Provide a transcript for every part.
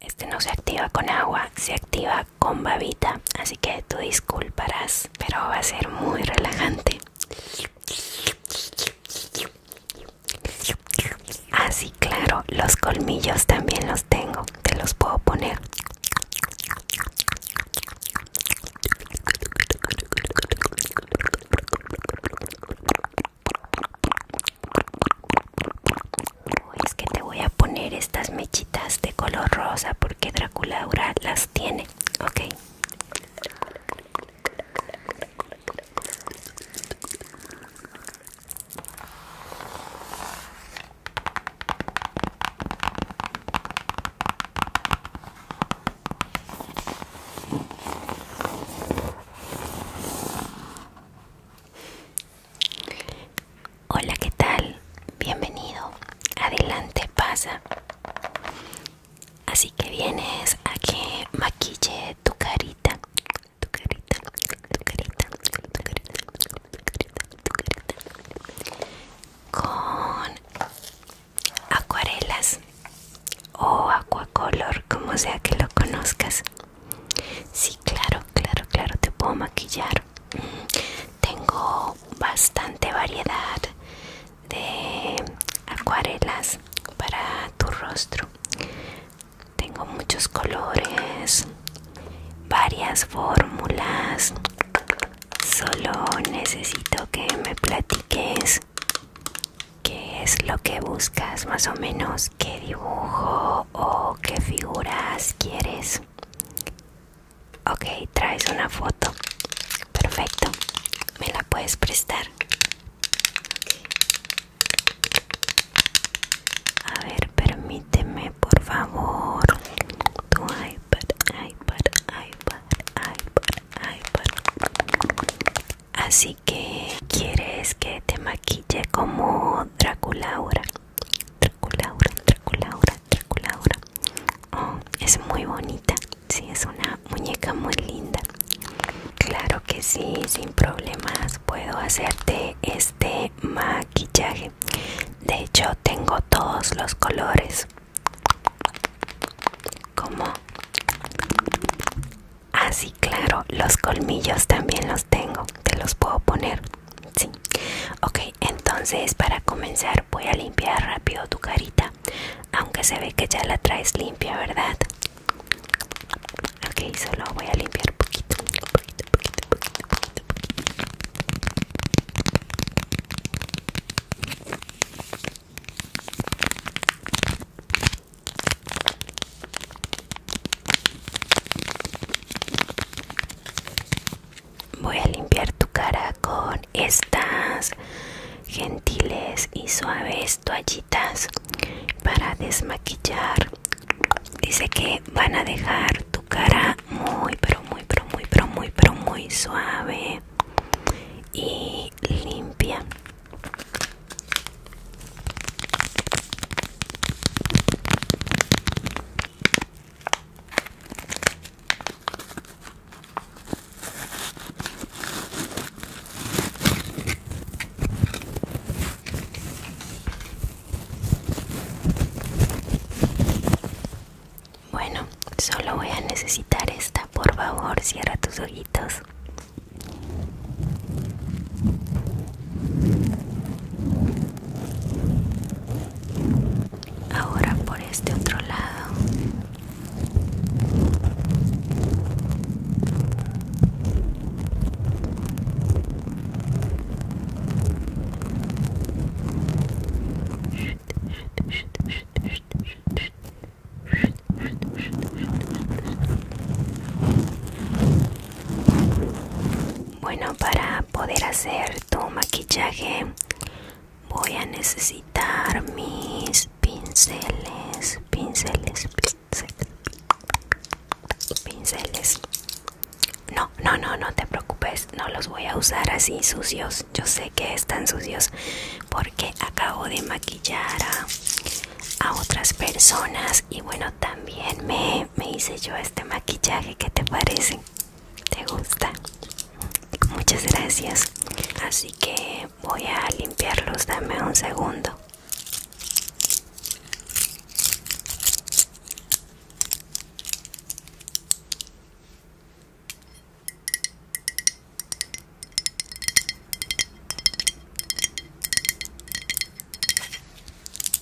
Este no se activa con agua, se activa con babita, así que tú disculparás, pero va a ser muy relajante. Así ah, claro, los colmillos también los tengo, te los puedo poner es que te voy a poner estas mechitas de color rosa porque Draculaura las tiene, ok. Hola, ¿qué tal? Bienvenido. Adelante, pasa. Así que vienes a que maquille tu carita. Tu carita, tu carita, tu carita, tu carita, Con acuarelas o acuacolor, como sea que lo conozcas. Sí, claro, claro, claro, te puedo maquillar. Mm, tengo bastante variedad de acuarelas para tu rostro. Tengo muchos colores, varias fórmulas. Solo necesito que me platiques qué es lo que buscas, más o menos, qué dibujo o qué figuras quieres. Ok, traes una foto. Perfecto. ¿Me la puedes prestar? A ver, permíteme, por favor. Tu iPad, iPad, iPad, iPad. Así que, ¿quieres que te maquille como Draculaura. Draculaura, Draculaura, Draculaura. Oh, es muy bonita. Sí, es una muñeca muy linda. Claro que sí, sin problemas puedo hacerte este maquillaje. De hecho, tengo todos los colores. Como Así, ah, claro, los colmillos también los tengo. Te los puedo poner. Sí. Ok, entonces para comenzar voy a limpiar rápido tu carita. Aunque se ve que ya la traes limpia, ¿verdad? Ok, solo voy a limpiar poquito, poquito, poquito, poquito, poquito, poquito. Voy a limpiar tu cara con estas gentiles y suaves toallitas para desmaquillar. Dice que van a dejar tu cara muy, pero muy, pero muy, pero muy, pero muy suave y limpia. Bueno, solo voy a necesitar esta, por favor, cierra tus ojitos. Ahora por este otro lado. Bueno, para poder hacer tu maquillaje voy a necesitar mis pinceles, pinceles, pinceles, pinceles. No, no, no, no te preocupes, no los voy a usar así sucios. Yo sé que están sucios porque acabo de maquillar a, a otras personas y bueno, también me me hice yo este maquillaje, ¿qué te parece? ¿Te gusta? Muchas gracias. Así que voy a limpiarlos, dame un segundo.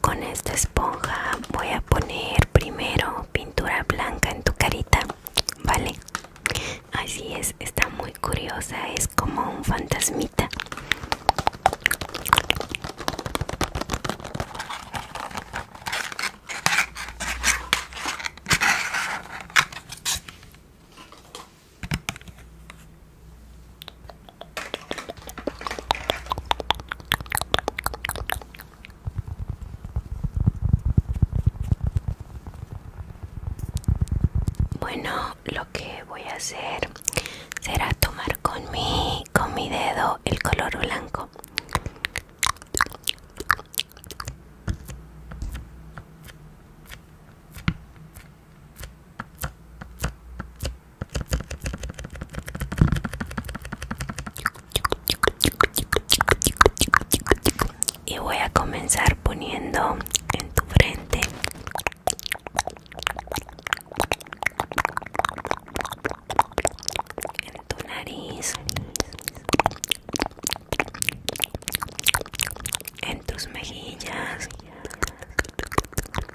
Con esta esponja voy a poner primero pintura blanca en tu carita, ¿vale? Así es, está muy curiosa, es como un fantasmita. Bueno, lo que voy a hacer será tomar con mi, con mi dedo el color blanco. Y voy a comenzar poniendo en tu frente. En tu nariz. En tus mejillas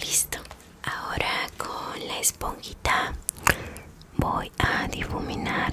Listo. Ahora con la esponjita voy a difuminar.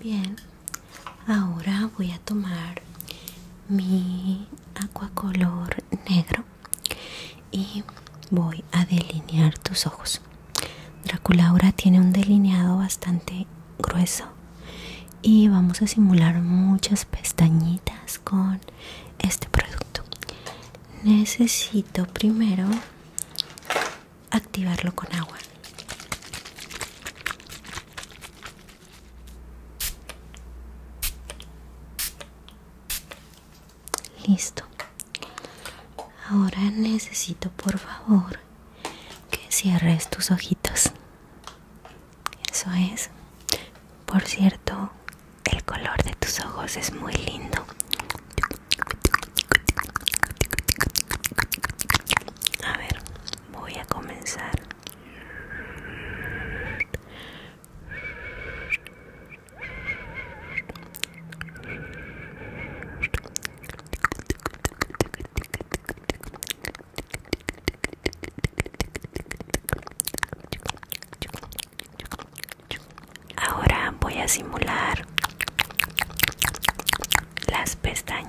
Bien, ahora voy a tomar mi acuacolor negro y voy a delinear tus ojos. Draculaura tiene un delineado bastante grueso y vamos a simular muchas pestañitas con este producto necesito primero activarlo con agua listo ahora necesito por favor que cierres tus ojitos eso es. Por cierto, el color de tus ojos es muy lindo. A ver, voy a comenzar. Ahora voy a simular las pestañas.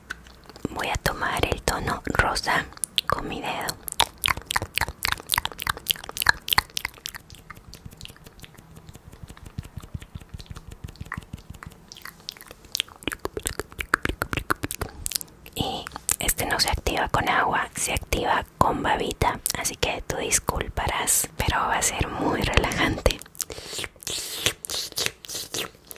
voy a tomar el tono rosa con mi dedo y este no se activa con agua se activa con babita así que tú disculparás pero va a ser muy relajante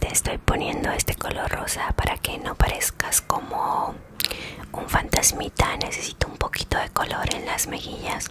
te estoy poniendo este color rosa para que no parezcas como un fantasmita. Necesito un poquito de color en las mejillas.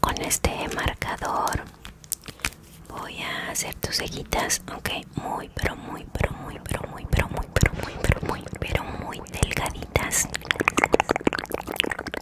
Con este marcador voy a hacer tus cejitas, ok, muy, pero muy, pero muy, pero muy, pero muy, pero muy, pero muy, pero muy, pero muy delgaditas.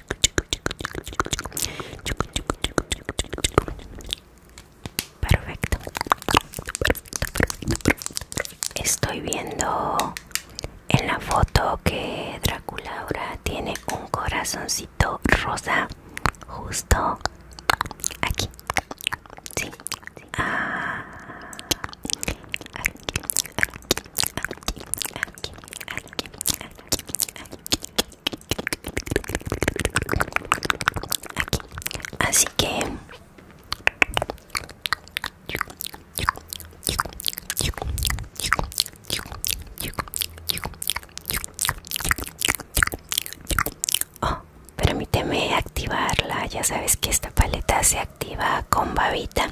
Perfecto. Perfecto, perfecto, perfecto. Estoy viendo en la foto que Drácula ahora tiene un corazoncito rosa justo aquí. Sí. aquí, aquí, aquí, aquí, aquí, aquí, aquí, aquí así que oh, permíteme activarla ya sabes que esta paleta se activa con babita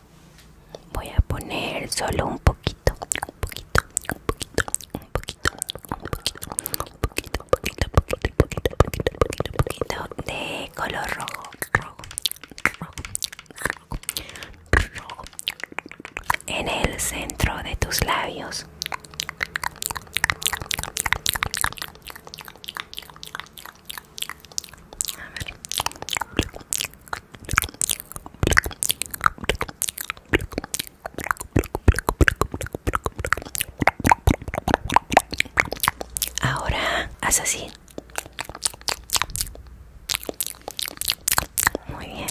voy a poner solo un poquito un poquito un poquito un poquito un poquito un poquito un poquito poquito poquito poquito poquito poquito de color rojo rojo rojo rojo en el centro de tus labios a ver Ahora así. Muy bien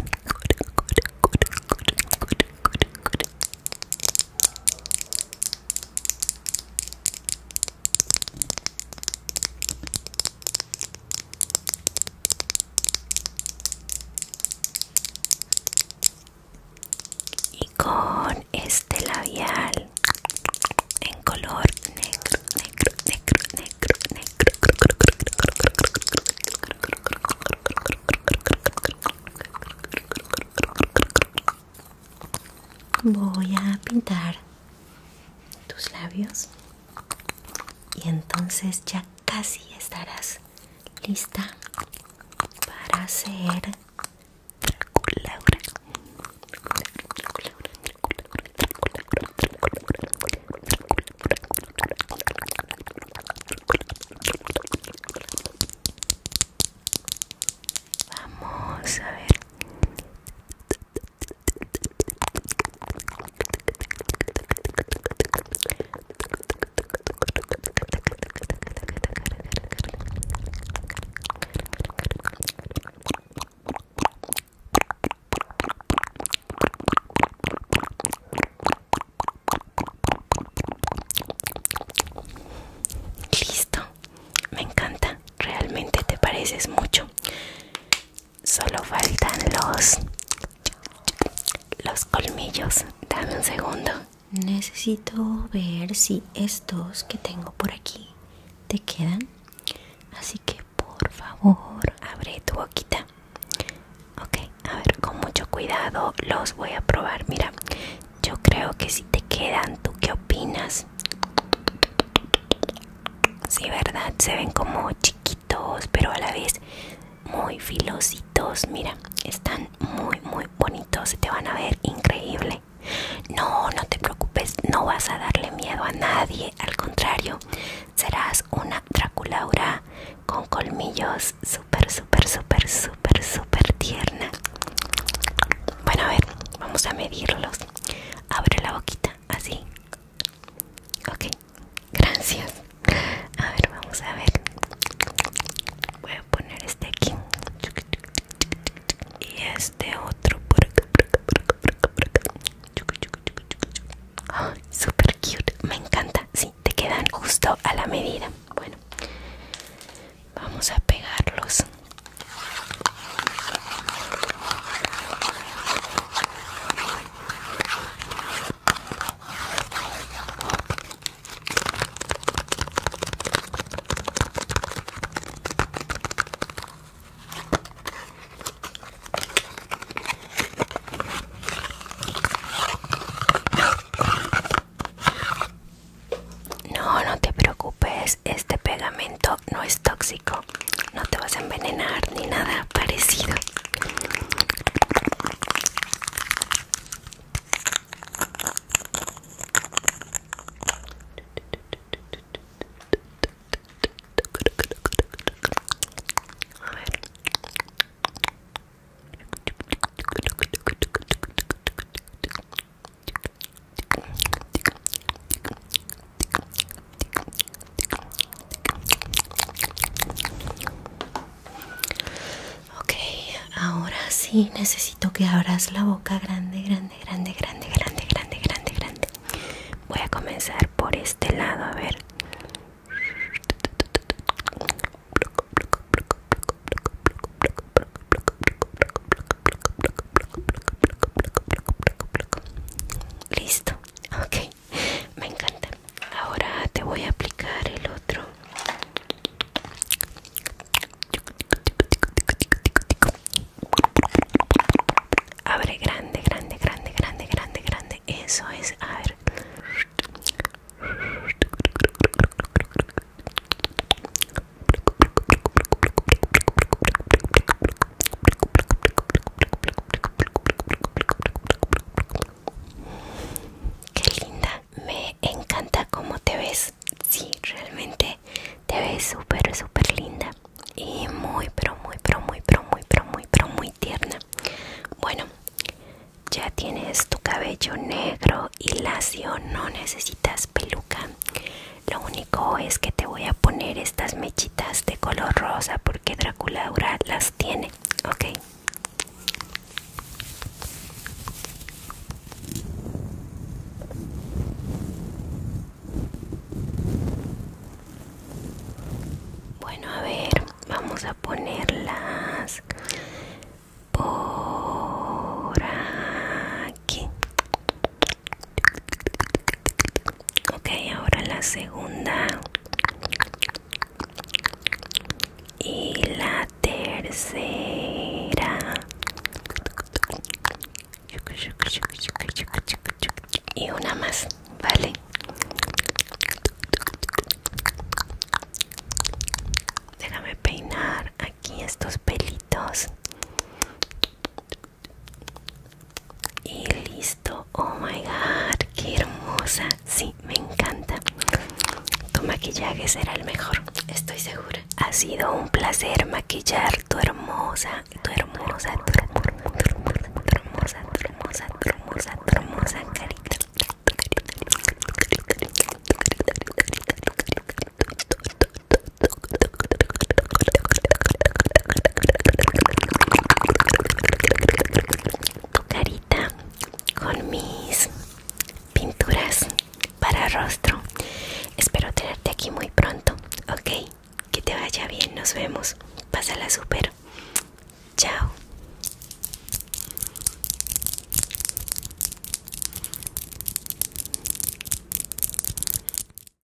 y con este labial en color negro negro negro negro negro voy a pintar tus labios y entonces ya casi estarás lista para hacer Vamos a ver. Listo, me encanta, realmente te pareces mucho. Solo faltan los los colmillos. Dame un segundo. Necesito ver si estos que tengo por aquí te quedan. Así que por favor, abre tu boquita. Ok, a ver, con mucho cuidado los voy a probar. Mira, yo creo que si te quedan, ¿tú qué opinas? Sí, verdad, se ven como chiquitos, pero a la vez muy filositos. Mira, están muy, muy bonitos. te van a ver increíble. No, no te preocupes, no vas a darle miedo a nadie. Al contrario, serás una Draculaura con colmillos súper, súper, súper, súper, súper tierna. Bueno, a ver, vamos a medirlos. Abre la boquita, así. Ok, gracias. A ver, vamos a ver. Voy a poner este aquí. Y este otro por acá, por acá, por acá, acá, super cute, me encanta. Sí, te quedan justo a la medida. Bueno, vamos a pegarlos no, no te preocupes, este pegamento no es tóxico no te vas a envenenar ni nada parecido Ok, ahora sí necesito que abras la boca grande, grande, grande, grande, grande, grande, grande, grande. Voy a comenzar por este lado, a ver listo ok me encanta ahora te voy a aplicar el otro abre grande grande grande grande grande grande eso es a ver Qué linda, me encanta cómo te ves. Sí, realmente te ves súper, súper linda. Y muy, pero muy, pero muy, pero muy, pero muy, pero muy tierna. Bueno, ya tienes tu cabello negro y lacio, no necesitas peluca. Lo único es que te voy a poner estas mechitas de color rosa porque Drácula las tiene, ¿ok? Bueno, a ver, vamos a ponerlas por aquí ok ahora la segunda y la tercera y una más vale déjame peinar aquí estos pelitos y listo. Oh my god, qué hermosa. Sí, me encanta. Tu maquillaje será el mejor, estoy segura. Ha sido un placer maquillar tu hermosa, tu hermosa, tu hermosa, tu hermosa, tu hermosa, tu hermosa, hermosa, hermosa tu carita con mis pinturas para rostro. Espero tenerte aquí muy pronto, ¿ok? Que te vaya bien, nos vemos. Pásala súper. Chao.